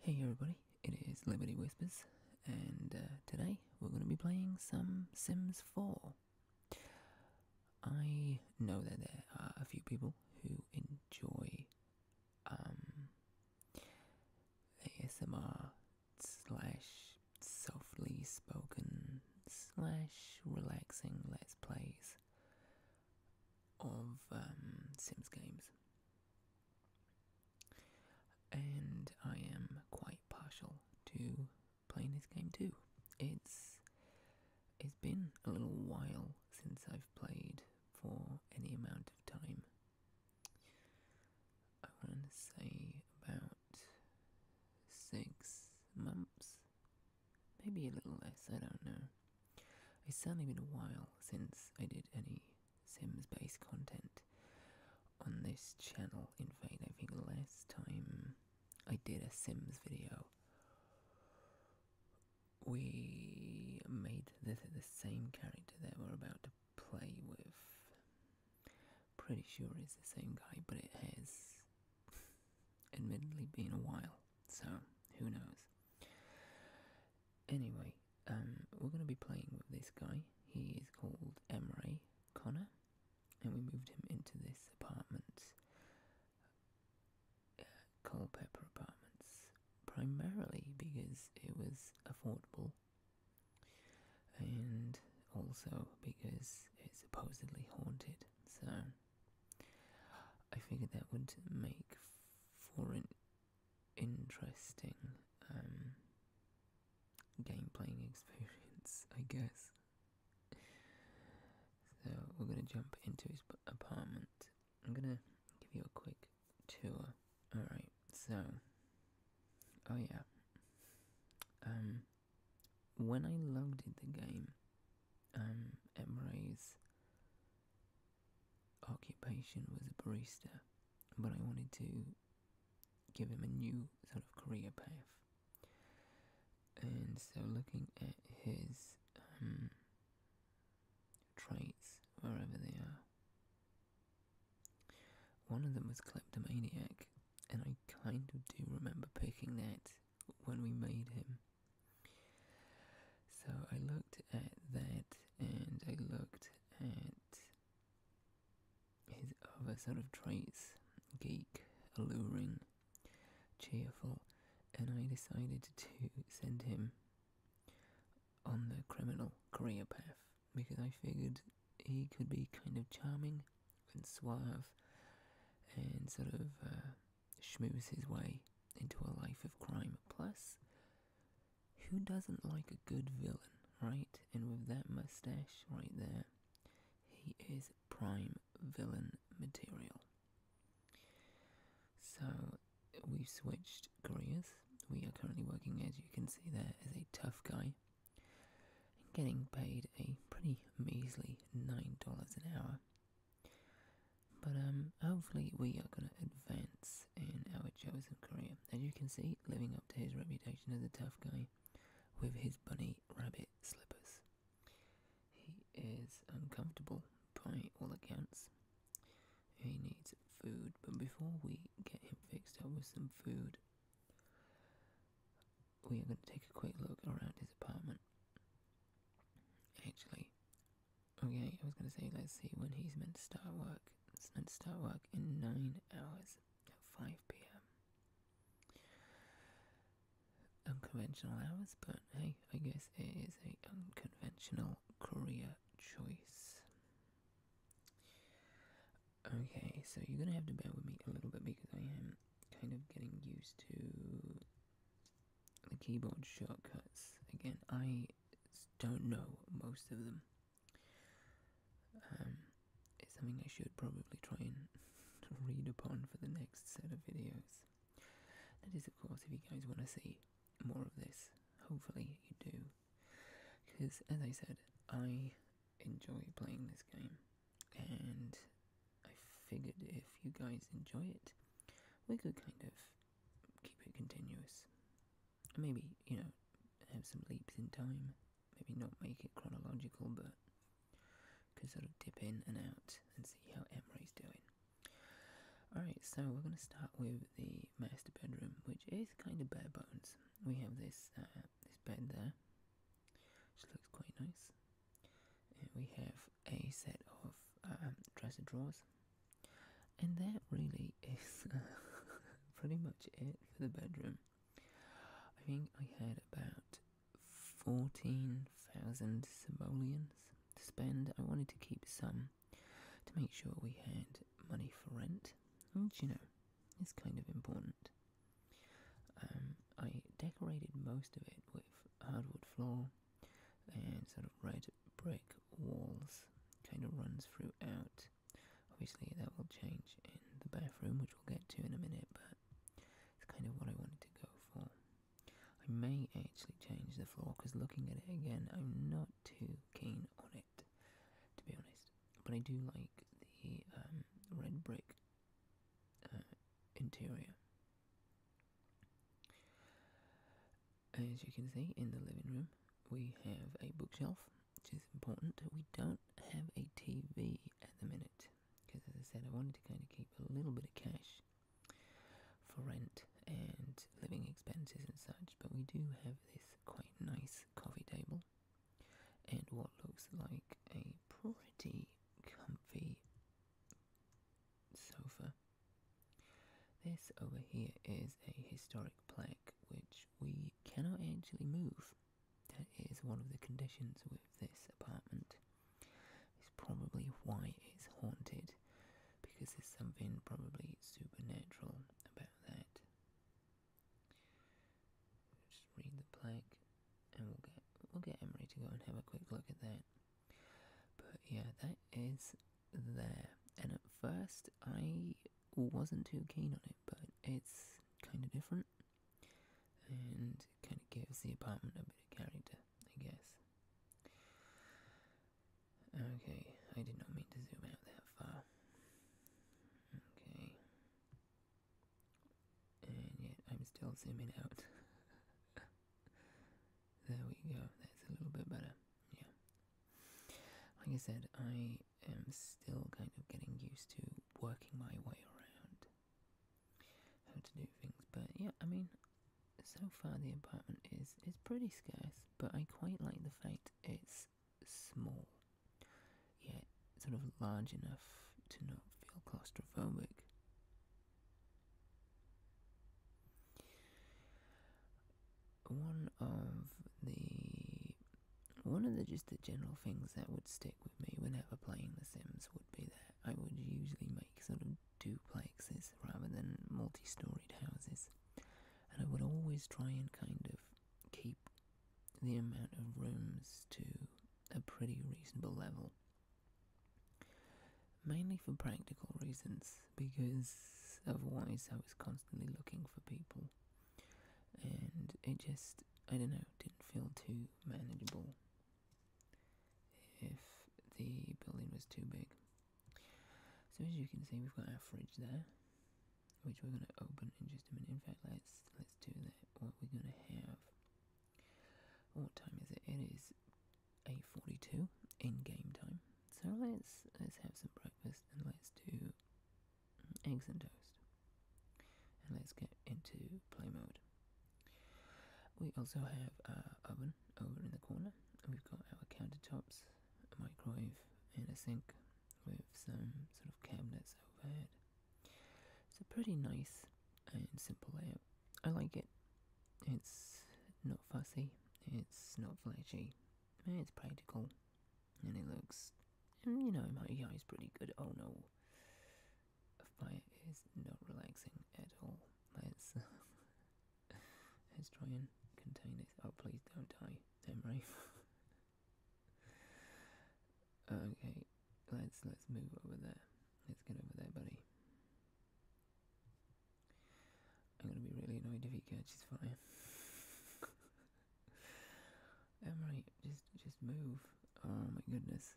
Hey everybody, it is Liberty Whispers, and uh, today we're going to be playing some Sims 4. I know that there are a few people who enjoy um, ASMR slash softly spoken slash relaxing, let's plays of um, Sims games. And I am quite partial to playing this game too. It's it's been a little while since I've played for any amount of time. I want to say about about six months, maybe a little less, I don't know. It's certainly been a while since I did any Sims based content on this channel. In fact, I think the last time I did a Sims video, we made the, the same character that we're about to play with. Pretty sure it's the same guy, but it has admittedly been a while, so who knows. Anyway, um, we're going to be playing with this guy. He is called Emre Connor, and we moved him into this apartment, uh, Apartments, primarily because it was affordable and also because it's supposedly haunted. So I figured that would make for an interesting um, game playing experience, I guess. So we're gonna jump into his apartment. I'm gonna give you a quick tour. All right. So, oh yeah. Um, when I logged in the game, um, Emrys' occupation was a barista, but I wanted to give him a new sort of career path. And so, looking at his um, traits, wherever they are, one of them was kleptomaniac, and I kind of do remember picking that when we made him. So I looked at that and I looked at his other sort of traits geek, alluring, cheerful, and I decided to send him on the criminal career path because I figured he could be kind of charming and suave and sort of uh, schmooze his way into a life of crime. Plus, who doesn't like a good villain, right? And with that mustache right there, he is prime villain material. So, we've switched careers. We are currently working, as you can see there, as a tough guy and getting paid a pretty measly nine dollars an hour. But um, hopefully we are going to advance in our chosen career. As you can see, living up to his reputation as a tough guy with his bunny rabbit slippers. He is uncomfortable by all accounts. He needs food, but before we get him fixed up with some food, we are going to take a quick look around his apartment. Actually, okay, I was going to say, let's see when he's meant to start work. It's meant to start work in 9 hours at 5 pm. Unconventional hours, but hey, I guess it is a unconventional career choice. Okay, so you're gonna have to bear with me a little bit because I am kind of getting used to the keyboard shortcuts. Again, I don't know most of them. Um, it's something I should probably try and read upon for the next set of videos. That is, of course, if you guys want to see more of this. Hopefully, you do. Because, as I said, I enjoy playing this game and I figured if you guys enjoy it, we could kind of keep it continuous. Maybe, you know, have some leaps in time. Maybe not make it chronological, but could sort of dip in and out and see how Emre's doing. Alright, so we're going to start with the master bedroom, which is kind of bare bones. We have this uh, this bed there, she looks quite nice. Uh, we have a set of um, dresser drawers, and that really is pretty much it for the bedroom. I think I had about 14,000 simoleons to spend. I wanted to keep some to make sure we had money for rent, which, you know, is kind of important. Um, I decorated most of it with hardwood floor and sort of red brick walls, kind of runs throughout. Obviously, that will change in the bathroom, which we'll get to in a minute, but it's kind of what I wanted to go for. I may actually change the floor because looking at it again, I'm not too keen on it, to be honest. But I do like the um, red brick uh, interior. As you can see in the living room, we have a bookshelf, which is important. We don't have a TV at the minute because, as I said, I wanted to kind of keep a little bit of cash for rent and living expenses and such. But we do have this quite nice coffee table and what looks like a pretty comfy sofa. This over here is a historic plaque which we cannot actually move. That is one of the conditions with this apartment. It's probably why it's haunted, because there's something probably supernatural about that. Just read the plaque and we'll get we'll get Emery to go and have a quick look at that. But yeah, that is there. And at first I wasn't too keen on it, but it's kind of different and kind of gives the apartment a bit of character, I guess. Okay, I did not mean to zoom out that far. Okay. And yet I'm still zooming out. there we go, that's a little bit better. Yeah. Like I said, I am still kind of getting used to working my way around how to do things. But yeah, I mean, so far the apartment is, is pretty scarce, but I quite like the fact it's small, Yeah sort of large enough to not feel claustrophobic. One of the one of the just the general things that would stick with me whenever playing The Sims would be that I would usually make sort of duplexes rather than multi-storied houses, and I would always try and kind of keep the amount of rooms to a pretty reasonable level. Mainly for practical reasons, because otherwise I was constantly looking for people, and it just, I don't know, didn't feel too manageable if the building was too big. So as you can see, we've got our fridge there, which we're going to open in just a minute. In fact, let's let's do that. What we're going to have what time is it? It is 8:42 in game time. So let's let's have some breakfast and let's do eggs and toast. And let's get into play mode. We also have a oven over in the corner. We've got our countertops, a microwave, and a sink with some sort of cabinets overhead. It's a pretty nice and simple layout. I like it. It's not fussy, it's not flashy, it's practical, and it looks, you know, my UI is pretty good. Oh no, fire is not relaxing at all. Let's, let's try and contain it. Oh, please don't die, Emery. Okay, let's let's move over there. Let's get over there, buddy. I'm gonna be really annoyed if he catches fire. Emery, just just move. Oh my goodness.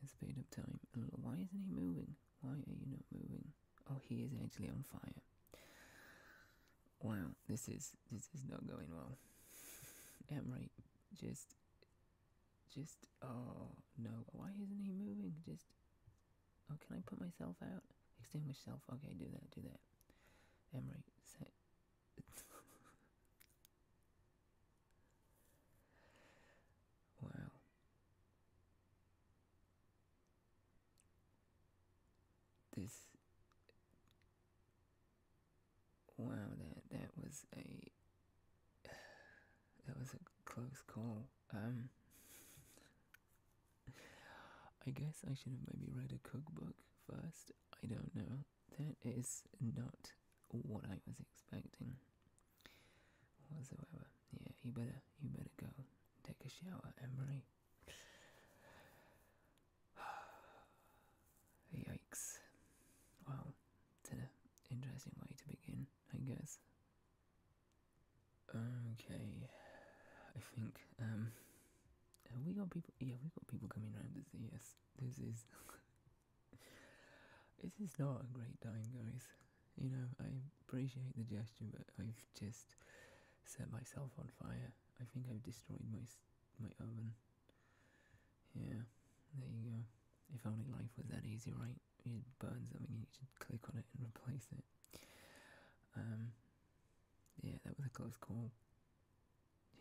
Let's speed up time a little. Why isn't he moving? Why are you not moving? Oh, he is actually on fire. Wow, this is this is not going well. Emery, just just, oh, no. Why isn't he moving? Just, oh, can I put myself out? Extend myself. Okay, do that, do that. Emery, wow. This Wow, that that was a that was a close call. Um, I guess I should have maybe read a cookbook first. I don't know. That is not what I was expecting whatsoever. Yeah, you better you better go take a shower, Emery. Yikes. Wow, interesting way to begin, I guess. Okay, I think, um, we got people, yeah, we got people coming round to see us. This is, this is not a great time, guys. You know, I appreciate the gesture, but I've just set myself on fire. I think I've destroyed my, my oven. Yeah, there you go. If only life was that easy, right? You'd burn something and you should click on it and replace it. Um, yeah, that was a close call.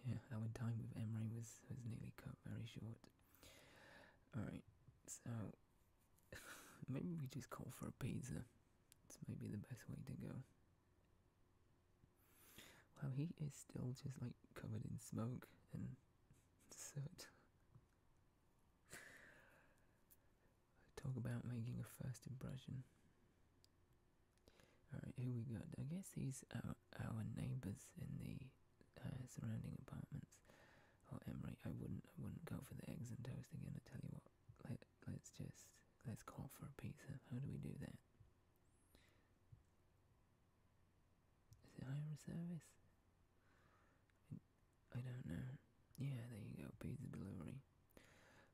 Yeah, our time with Emery was, was nearly cut very short. Alright, so maybe we just call for a pizza. It's maybe the best way to go. Well, he is still just like covered in smoke and so talk about making a first impression. Alright, here we go. I guess these are our neighbours in the uh, surrounding apartments. Oh, Emery, I wouldn't, I wouldn't go for the eggs and toast again. I tell you what, let let's just let's call for a pizza. How do we do that? Is it home service? I don't know. Yeah, there you go, pizza delivery.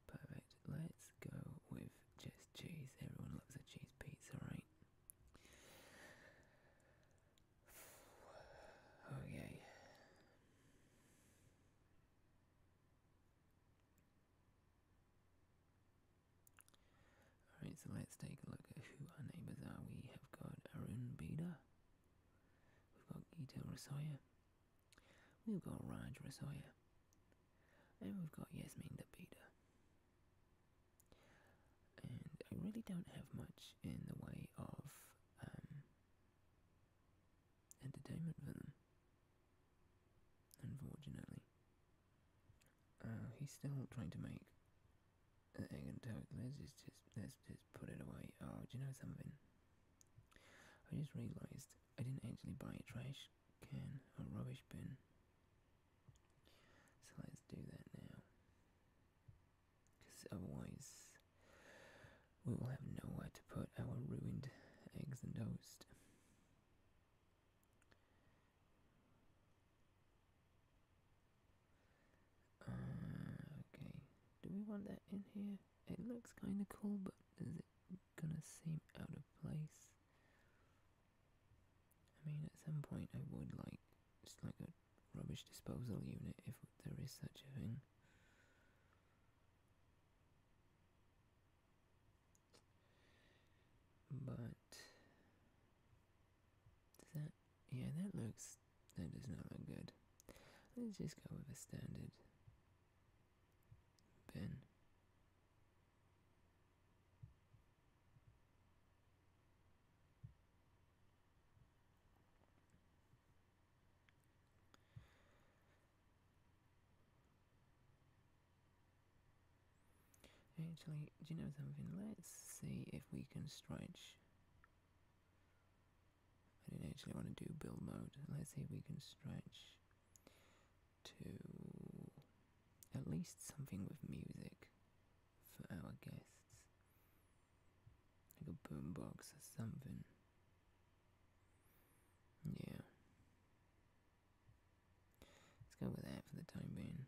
Perfect. Let's go with just cheese. Everyone loves a cheese pizza, right? Oh yeah. Alright, so let's take a look at who our neighbours are. We have got Arun Bida, we've got Gita Rasaya, we've got Raj Rasaya, and we've got Yasmin Dabida. And I really don't have much in the way of um, entertainment for them, unfortunately. Uh, he's still trying to make an egg and toast. Let's just let's just put it away. Oh, do you know something? I just realized I didn't actually buy a trash can or rubbish bin. So let's do that now. Because otherwise, we will have nowhere to put our ruined eggs and toast. Uh, okay, do we want that in here? It looks kind of cool, but is it gonna seem out of place? I mean, at some point, I would like just like a rubbish disposal unit if there is such a thing. But yeah, that looks, that does not look good. Let's just go with a standard bin. Actually, do you know something? Let's see if we can stretch. I do not actually want to do build mode. Let's see if we can stretch to at least something with music for our guests. Like a boombox or something. Yeah. Let's go with that for the time being.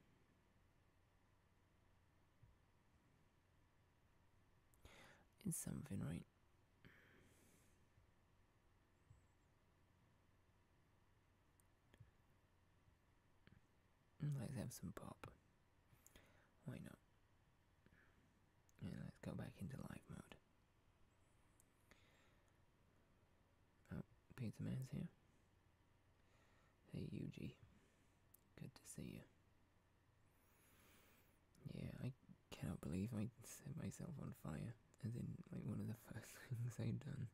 It's something, right? Let's have some pop. Why not? let's go back into live mode. Oh, Pizza Man's here. Hey, Yuji. Good to see you. Yeah, I cannot believe I set myself on fire. As in, like, one of the first things I'd done.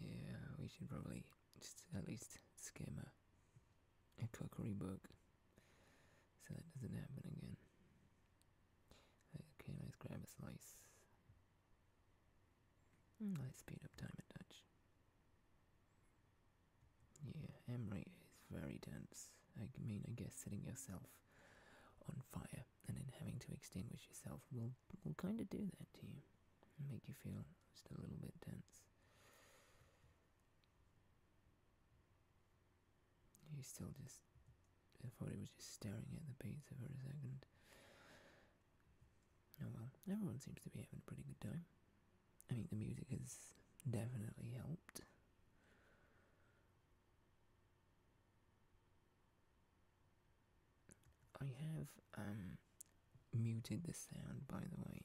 Yeah, we should probably just at least skim a, a cookery book so that doesn't happen again. Okay, let's grab a slice. Mm, let's speed up time a touch. Yeah, Emery is very dense. I mean, I guess setting yourself on fire and then having to extinguish yourself will will kind of do that to you, it make you feel just a little bit tense. You still just I thought he was just staring at the pizza for a second. Oh well, everyone seems to be having a pretty good time. I mean, the music has definitely helped. I have um, muted the sound, by the way,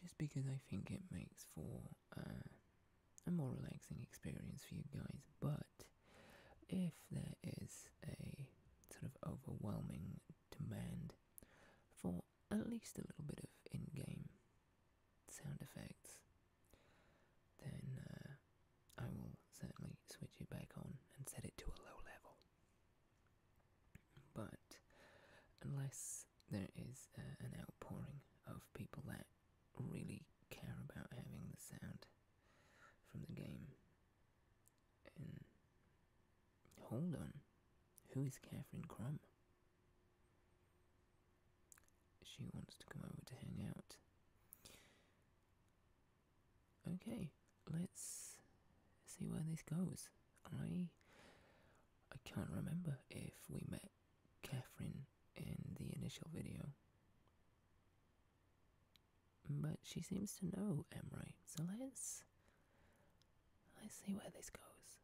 just because I think it makes for uh, a more relaxing experience for you guys. But if there is a sort of overwhelming demand for at least a little bit of in-game sound effects, then uh, I will certainly switch it back on and set it to a low level. But unless there is uh, an outpouring of people that really care about having the sound from the game. hold on, who is Catherine Crum? She wants to come over to hang out. Okay, let's see where this goes. I I can't remember if we met Catherine in the initial video. But she seems to know Emery, so let's let's see where this goes.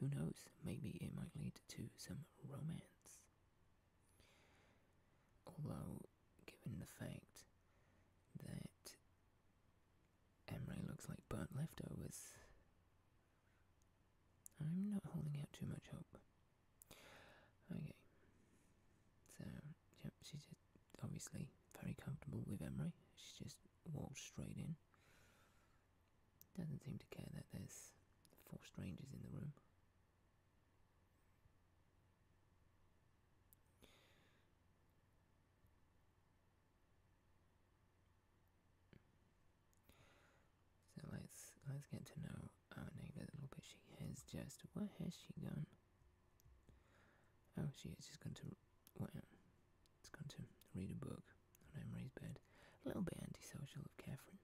Who knows? Maybe it might lead to some romance. Although, given the fact that Emery looks like burnt leftovers, I'm not holding out too much hope. Okay, so yeah, she's obviously very comfortable with Emery. She just walked straight in. Doesn't seem to care that there's four strangers in the room. So let's let's get to know owning oh, a little bit. She has just. What has she done? Oh, she is just going to. Well, it's to read a book on Emery's bed. A little bit antisocial of Catherine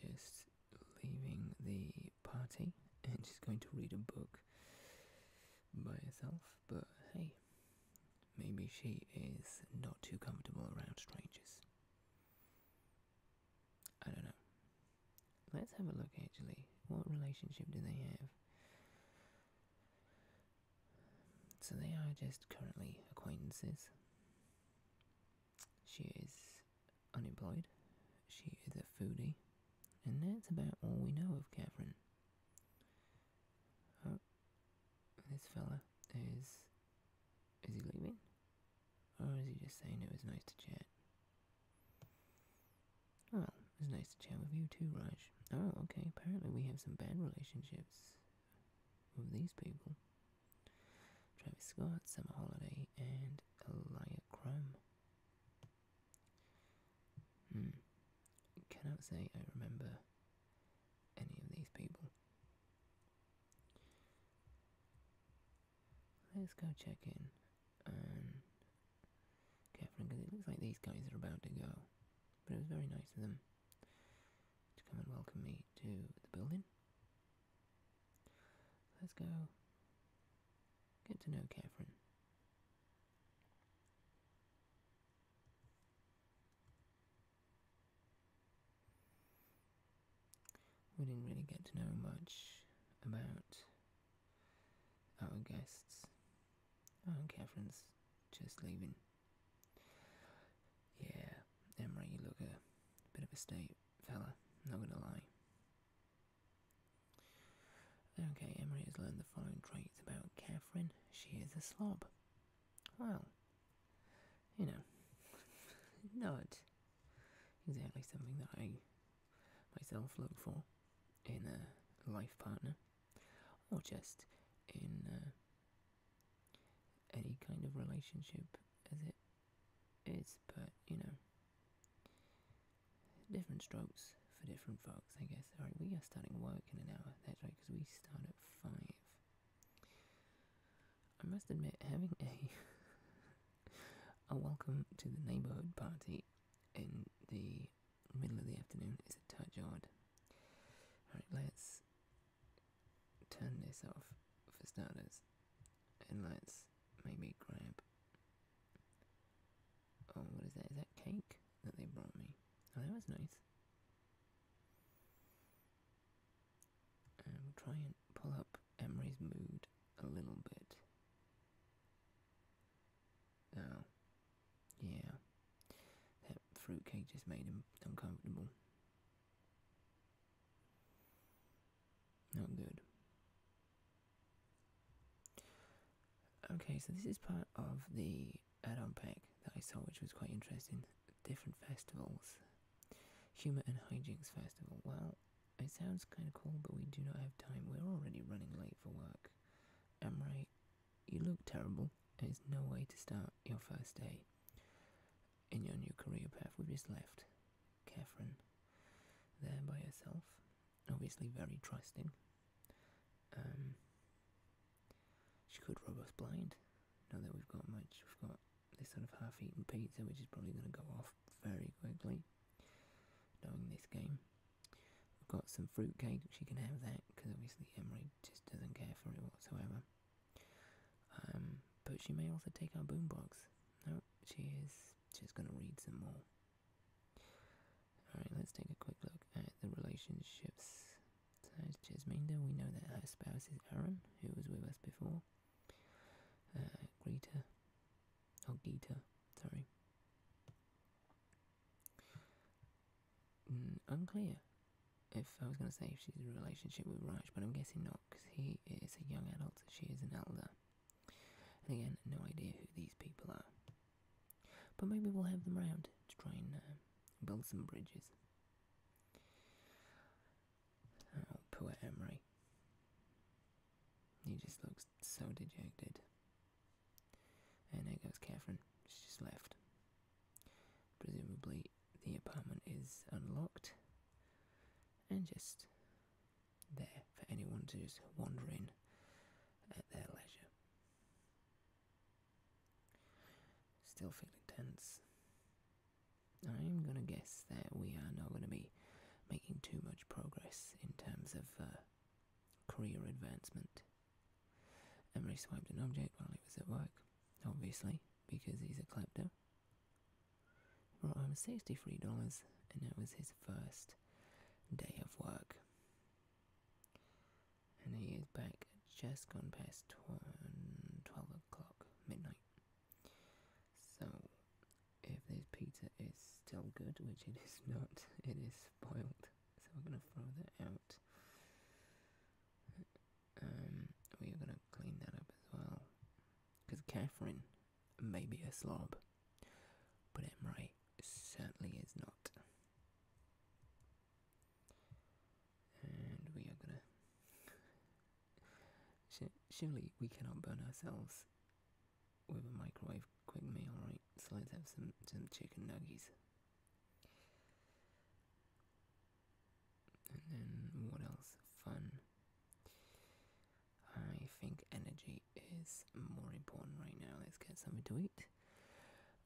just leaving the party and she's going to read a book by herself, but hey, maybe she is not too comfortable around strangers. I don't know. Let's have a look actually. What relationship do they have? So they are just currently acquaintances. She is unemployed, she is a foodie, and that's about all we know of Catherine. Oh, this fella is. Is he leaving? Or is he just saying it was nice to chat? Well, it was nice to chat with you too, Raj. Oh, okay, apparently we have some bad relationships of these people Travis Scott, Summer Holiday, and Elia Chrome. Hmm. Cannot say I remember any of these people. Let's go check in and Catherine because it looks like these guys are about to go. But it was very nice of them to come and welcome me to the building. Let's go get to know Catherine. We didn't really get to know much about our guests. Oh, Catherine's just leaving. Yeah, Emre, you look a bit of a state fella, not gonna lie. Okay, Emery has learned the following traits about Catherine. She is a slob. Well, you know, not exactly something that I myself look for in a life partner, or just in uh, any kind of relationship as it is, but you know, different strokes for different folks, I guess. Alright, we are starting work in an hour, that's right, because we start at 5. I must admit, having a, a welcome to the neighborhood party in the middle of the afternoon is a touch odd. Alright, let's turn this off for starters and let's maybe grab. Oh, what is that? Is that cake that they brought me? Oh, that was nice. And um, we try and pull up Emery's mood a little bit. Oh, yeah, that fruitcake just made him uncomfortable. Not good. Okay, so this is part of the add-on pack that I saw, which was quite interesting. Different festivals. Humour and Hijinks Festival. Well, it sounds kind of cool, but we do not have time. We're already running late for work. Am I you look terrible. There is no way to start your first day in your new career path with his left. Catherine, there by herself, obviously very trusting. Um, she could rob us blind. Now that we've got much, we've got this sort of half-eaten pizza, which is probably going to go off very quickly. Knowing this game, we've got some fruitcake. She can have that because obviously Emery just doesn't care for it whatsoever. Um, but she may also take our boombox. No, she is She's going to read some more. Alright, let's take a quick look at the relationships. So it's Jasminda, we know that her spouse is Aaron, who was with us before. Uh, Greta, or oh, Gita, sorry. Mm, unclear if I was going to say if she's in a relationship with Raj, but I'm guessing not because he is a young adult, she is an elder. again, no idea who these people are. But maybe we'll have them around to try and uh, build some bridges. Oh, poor Emery. He just looks so dejected. And there goes Catherine. She's just left. Presumably, the apartment is unlocked and just there for anyone to just wander in at their leisure. Still feeling tense. I'm gonna guess that we are not gonna be making too much progress in terms of uh, career advancement. Emery swiped an object while he was at work, obviously, because he's a klepto. Brought home $63, and it was his first day of work. And he is back just gone past 12 o'clock, midnight. So, if this pizza is still good, which it is not, it is spoiled. So, we're gonna throw that out. Um, we're gonna clean that up as well. Because Catherine may be a slob, but Emery certainly is not. And we are gonna. Surely we cannot burn ourselves with a microwave quick meal, right? So let's have some, some chicken nuggets. And then what else? Fun. I think energy is more important right now. Let's get something to eat.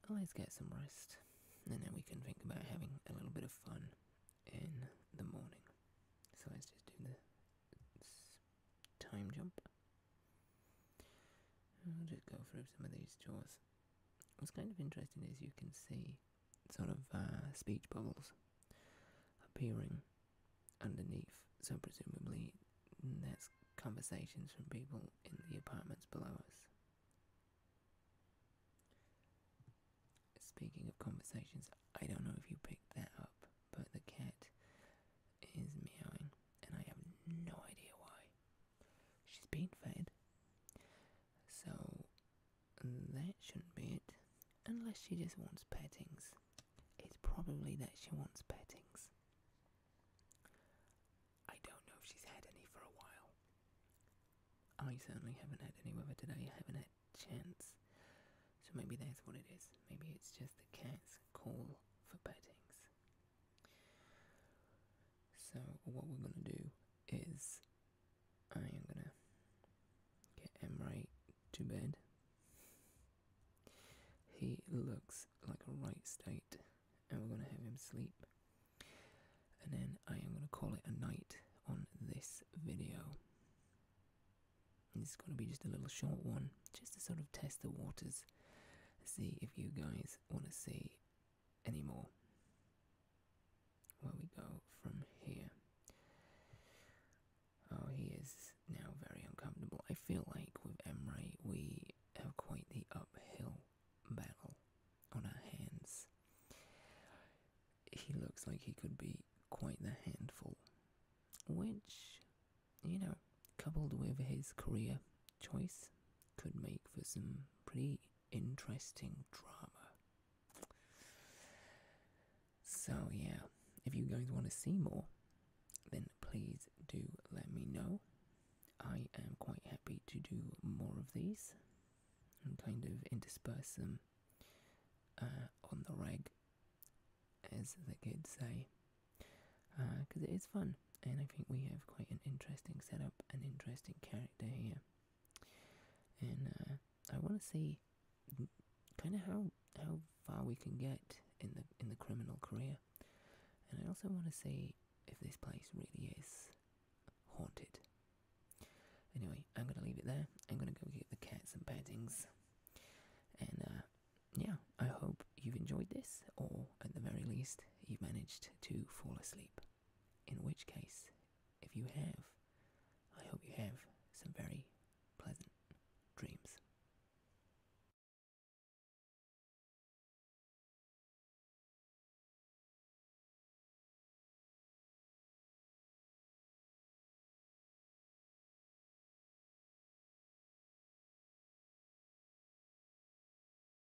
Let's get some rest. And then we can think about having a little bit of fun in the morning. So let's just do the time jump. I'll just go through some of these chores what's kind of interesting is you can see sort of uh, speech bubbles appearing underneath. So presumably that's conversations from people in the apartments below us. Speaking of conversations, I don't know if you picked that up, but the cat is meowing, and I have no idea why. She's been fed. So that shouldn't be it. Unless she just wants pettings. It's probably that she wants pettings. I don't know if she's had any for a while. I certainly haven't had any with her today. I haven't had chance. So maybe that's what it is. Maybe it's just the cat's call for pettings. So, what we're going to do is I am going to get Emre to bed. He looks like a right state, and we're going to have him sleep. And then I am going to call it a night on this video. And it's going to be just a little short one, just to sort of test the waters, see if you guys want to see anymore. Where we go from here. Oh, he is now very uncomfortable. I feel like with Emre, we have quite the uphill battle on our hands. He looks like he could be quite the handful, which, you know, coupled with his career choice could make for some pretty interesting drama. So, yeah, if you guys want to see more, then please do let me know. I am quite happy to do more of these and kind of intersperse them uh, on the rag, as the kids say, because uh, it is fun and I think we have quite an interesting setup, an interesting character here. And uh, I want to see kind of how how far we can get in the in the criminal career. And I also want to see if this place really is haunted. Anyway, I'm gonna leave it there. I'm gonna go get the cats and beddings. And uh, yeah, I hope you've enjoyed this, or at the very least, you've managed to fall asleep. In which case, if you have, I hope you have some very pleasant dreams.